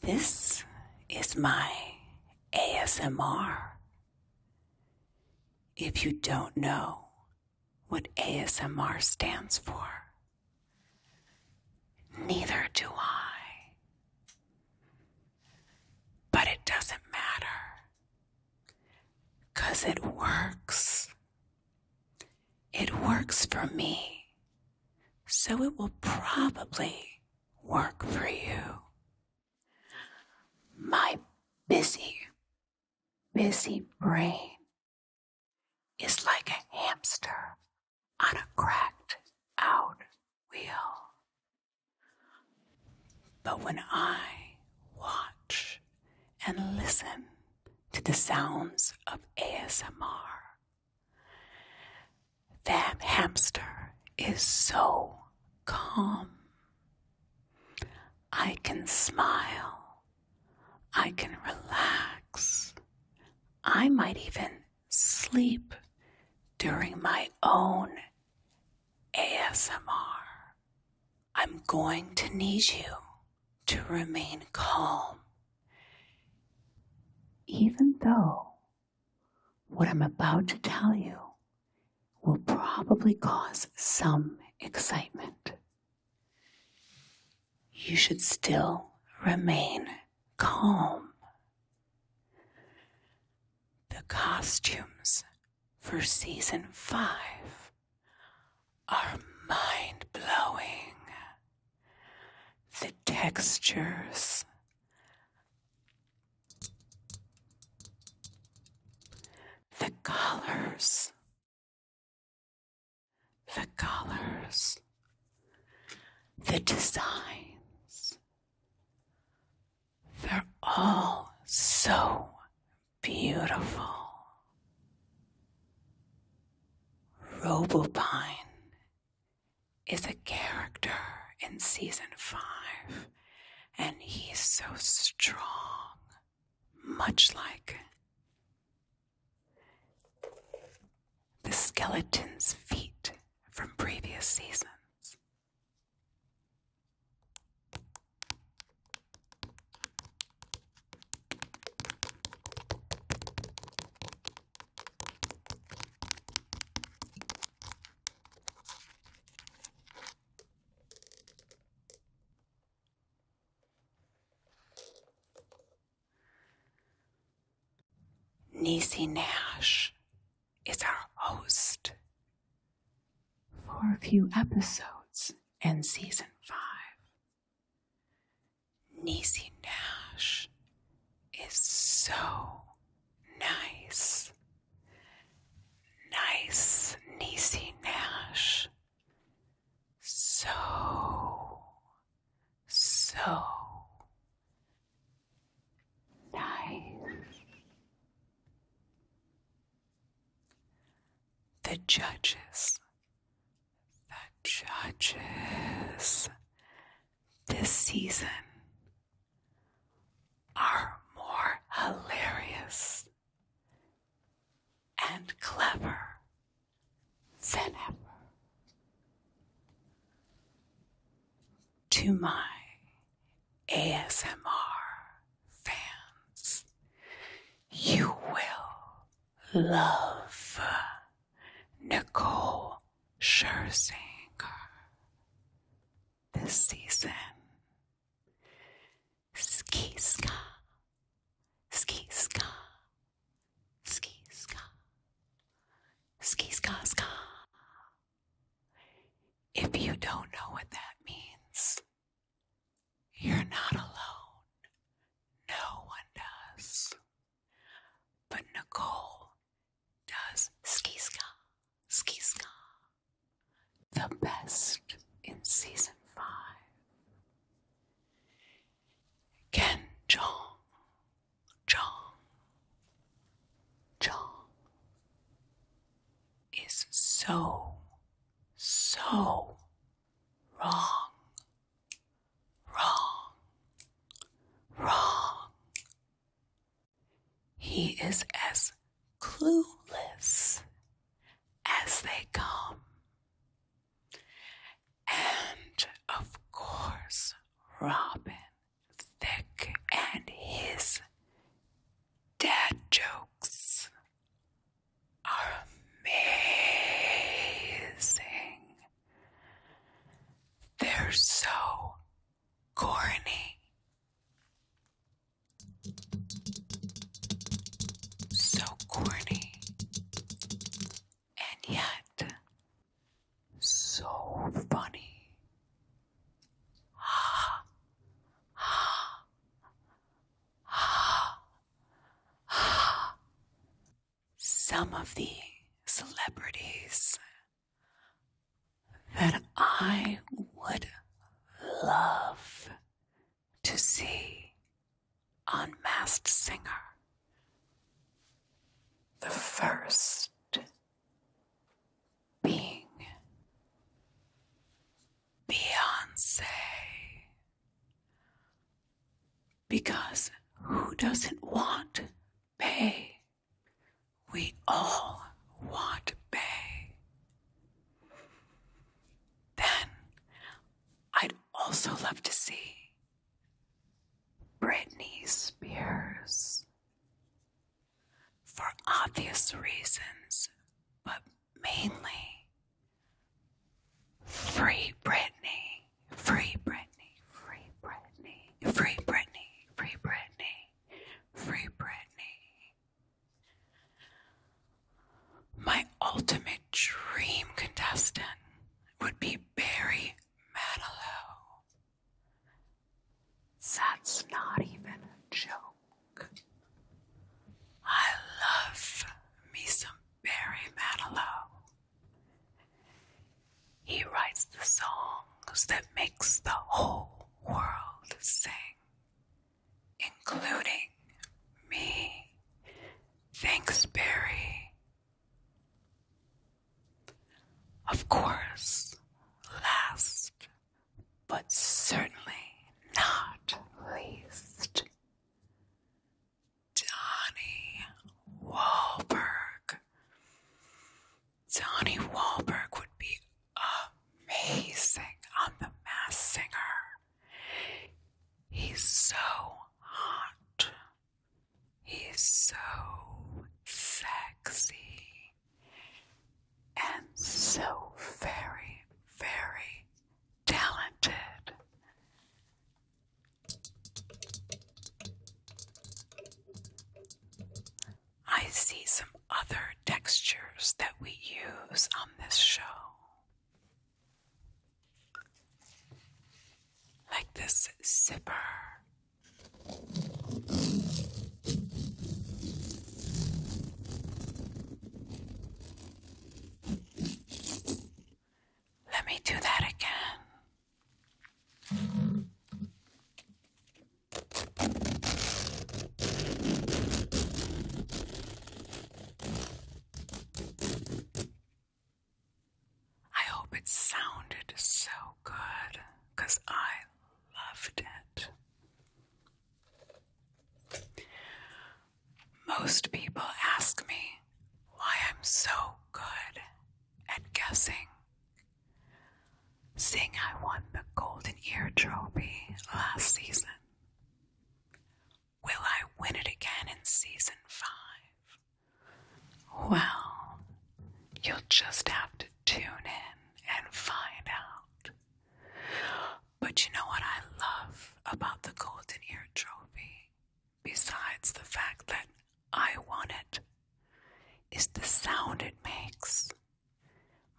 This is my ASMR. If you don't know what ASMR stands for, neither do I. But it doesn't matter, because it works. It works for me so it will probably work for you. My busy, busy brain is like a hamster on a cracked out wheel. But when I watch and listen to the sounds of ASMR, that hamster is so calm. I can smile. I can relax. I might even sleep during my own ASMR. I'm going to need you to remain calm, even though what I'm about to tell you will probably cause some excitement. You should still remain calm. The costumes for season five are mind blowing the textures. The colors, the colors, the designs, they're all so beautiful. Robopine is a character in season five, and he's so strong, much like the skeleton's feet from previous seasons. Nisi Nash is our host for a few episodes in season five. Nisi Nash is so nice. Nice, Niecy Nash. So, so nice. The judges, the judges, this season are more hilarious and clever than ever. To my ASMR fans, you will love Nicole Scherzinger this season. Ski ska, ski ska, ski If you don't know what that means, you're not alone. No one does. But Nicole does ski ska, ski The best in season five. Ken Jong, Jong, Jong is so, so wrong, wrong, wrong, he is as clueless as they come. And of course, Robin Thick and his dad jokes are amazing. They're so corny. So corny. And yet, so funny. Ah, ah, ah, ah. Some of the celebrities that I would love to see unmasked Singer. The first being Beyonce. Because who doesn't want Bey we all want bay. Then I'd also love to see Britney Spears. For obvious reasons, but mainly free Britney, free Britney free Britney, free Britney, free Britney, free Britney. My ultimate dream contestant would be Barry Manilow. That's not even a joke. I love me some Barry Manilow. He writes the songs that makes the whole world sing, including me. Thanks, Barry. Of course, last but certainly not least, Donnie Wahlberg. Donnie Wahlberg would be amazing on The Mass Singer. He's so hot. He's so sexy and so very, very talented. I see some other textures that we use on this show. Like this zipper. Let me do that again. I hope it sounded so good because I loved it. Most people ask me why I'm so good at guessing Sing! I won the Golden Ear Trophy last season. Will I win it again in season five? Well, you'll just have to tune in and find out. But you know what I love about the Golden Ear Trophy? Besides the fact that I won it is the sound it makes,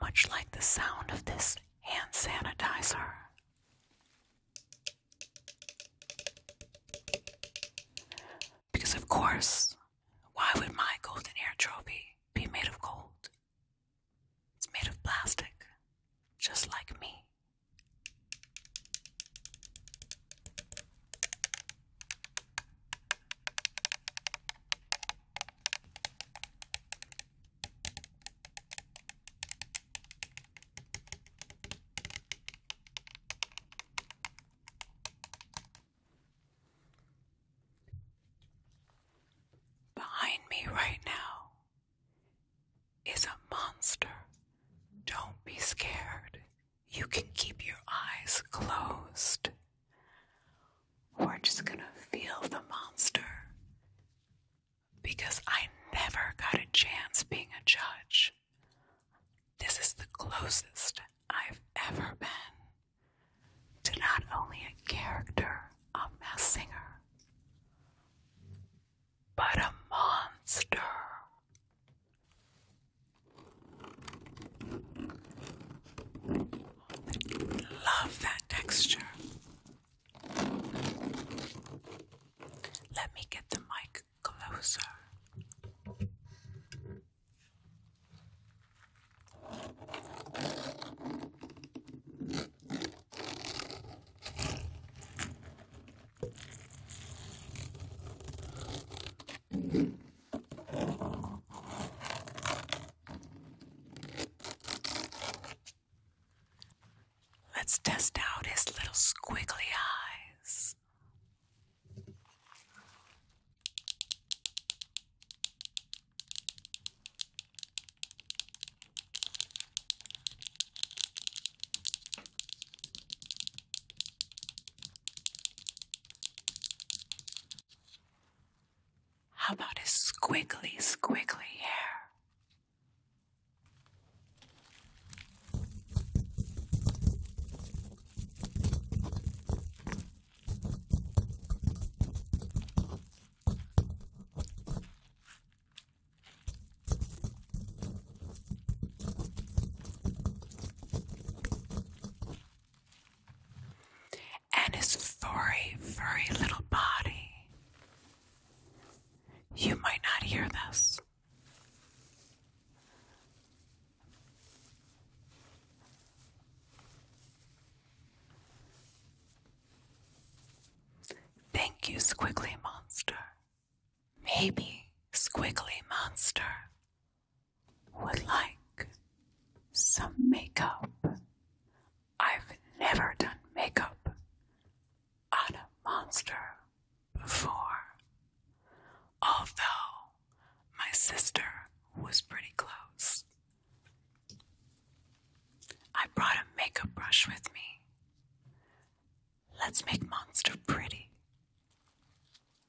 much like the sound of this hand sanitizer. Because, of course, why would my golden hair trophy be made of gold? It's made of plastic, just like me. Behind me right now is a monster. Don't be scared you can keep your eyes closed. We're just going to feel the monster because I never got a chance being a judge. This is the closest I've ever been to not only a character a Mass Singer, but a monster. Love that texture. Let me get the mic closer. Let's test out his little squiggly eyes. How about his squiggly, squiggly hair? and his furry, furry little body. You might not hear this. Thank you, Squiggly Monster. Maybe Squiggly Monster would like some makeup. I've never done makeup on a monster before, although my sister was pretty close. I brought a makeup brush with me. Let's make Monster pretty.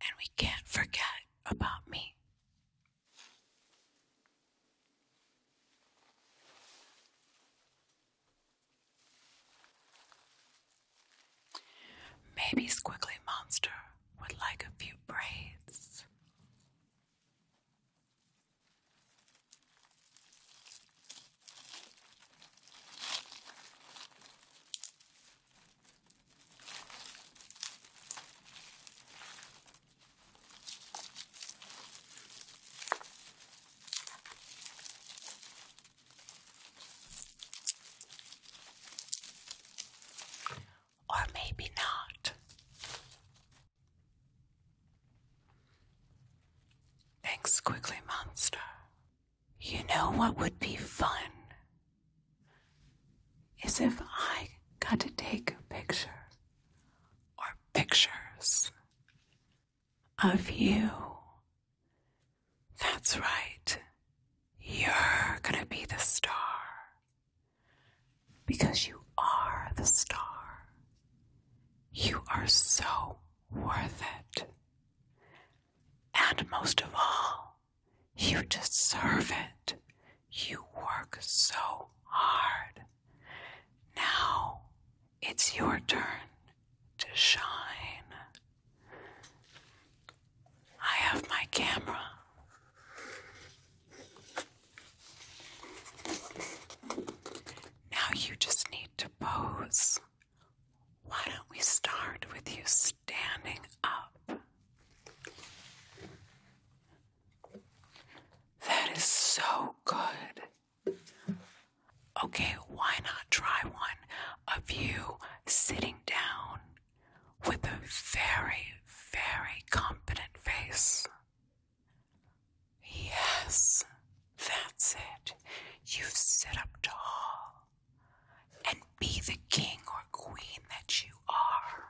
And we can't forget about me. Maybe Squiggly Monster would like a few braids. Or maybe not. Thanks, Quickly Monster. You know what would be fun is if I got to take pictures or pictures of you. That's right. You're going to be the star because you are the star. You are so worth it. And most of all, you deserve it. You work so hard. Now it's your turn to shine. I have my camera. Now you just need to pose. Why don't we start with you? standing up. That is so good. Okay, why not try one of you sitting down with a very, very confident face? Yes, that's it. You sit up tall and be the king or queen that you are.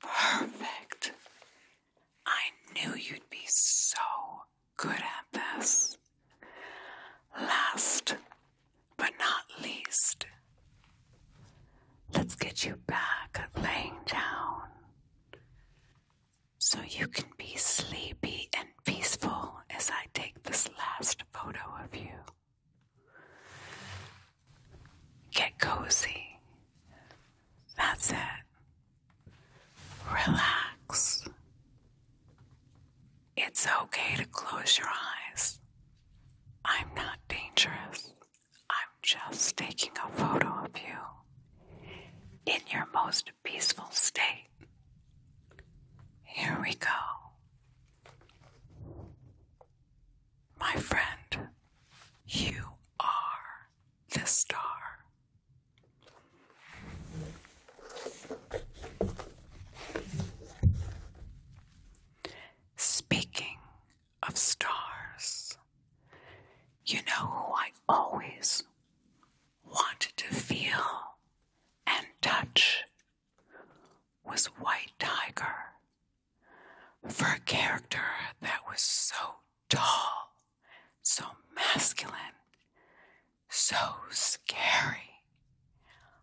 Perfect. I knew you'd be so good at this. Last but not least, let's get you back laying down so you can be sleepy and peaceful as I take this last photo of you. Get cozy. That's it. Relax. It's okay to close your eyes. I'm not dangerous. I'm just taking a photo of you in your most peaceful state. Here we go. My friend, you are the star. Speaking of stars, you know who I always wanted to feel and touch was White Tiger for a character that was so tall, so masculine, so scary.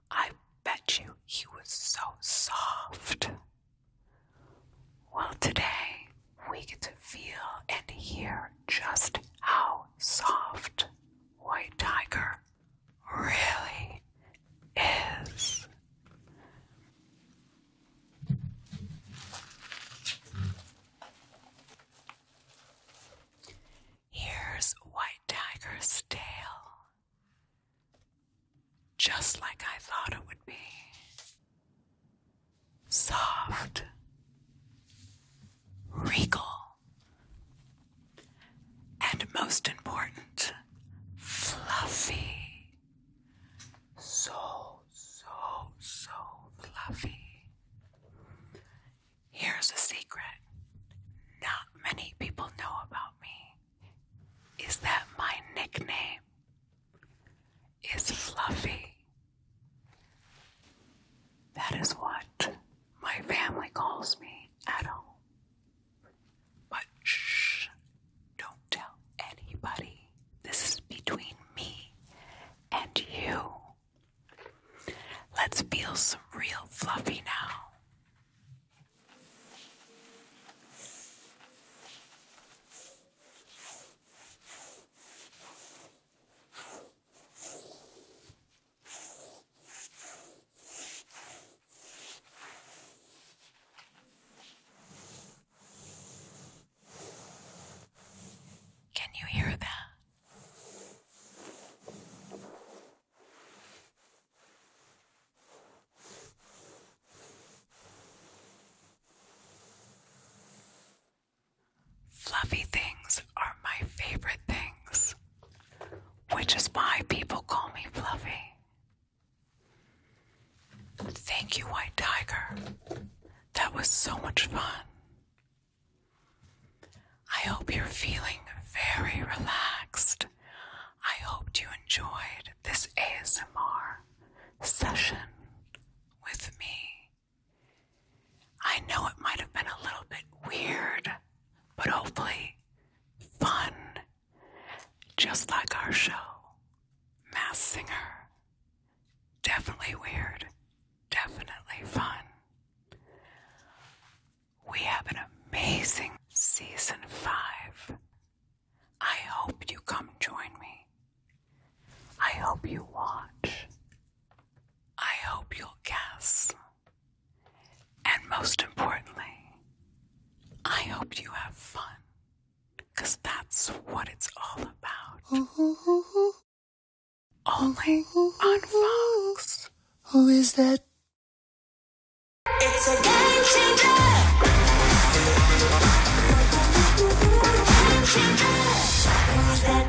I bet you he was so soft. Well, today we get to feel and hear just how soft White Tiger really is. Here's White Tiger's tail, just like I thought it would be soft, regal and most important, fluffy. So, so, so fluffy. Here's a secret not many people know about me is that my nickname is Fluffy. That is what my family calls me at home. But shh, don't tell anybody. This is between me and you. Let's feel some real fluffy now. Can you hear that? Fluffy things are my favorite things which is why people call me Fluffy. Thank you, White Tiger. That was so much fun. I hope you're feeling very relaxed. I hoped you enjoyed this ASMR session with me. I know it might have been a little bit weird but hopefully fun, just like our show, Mass Singer. Definitely weird, definitely fun. We have an amazing season five. I hope you come join me. I hope you watch. I hope you'll guess. And most importantly, I hope you have fun because that's what it's all about. Only on Fox. Who is that? It's a game changer. Game changer. Who is that?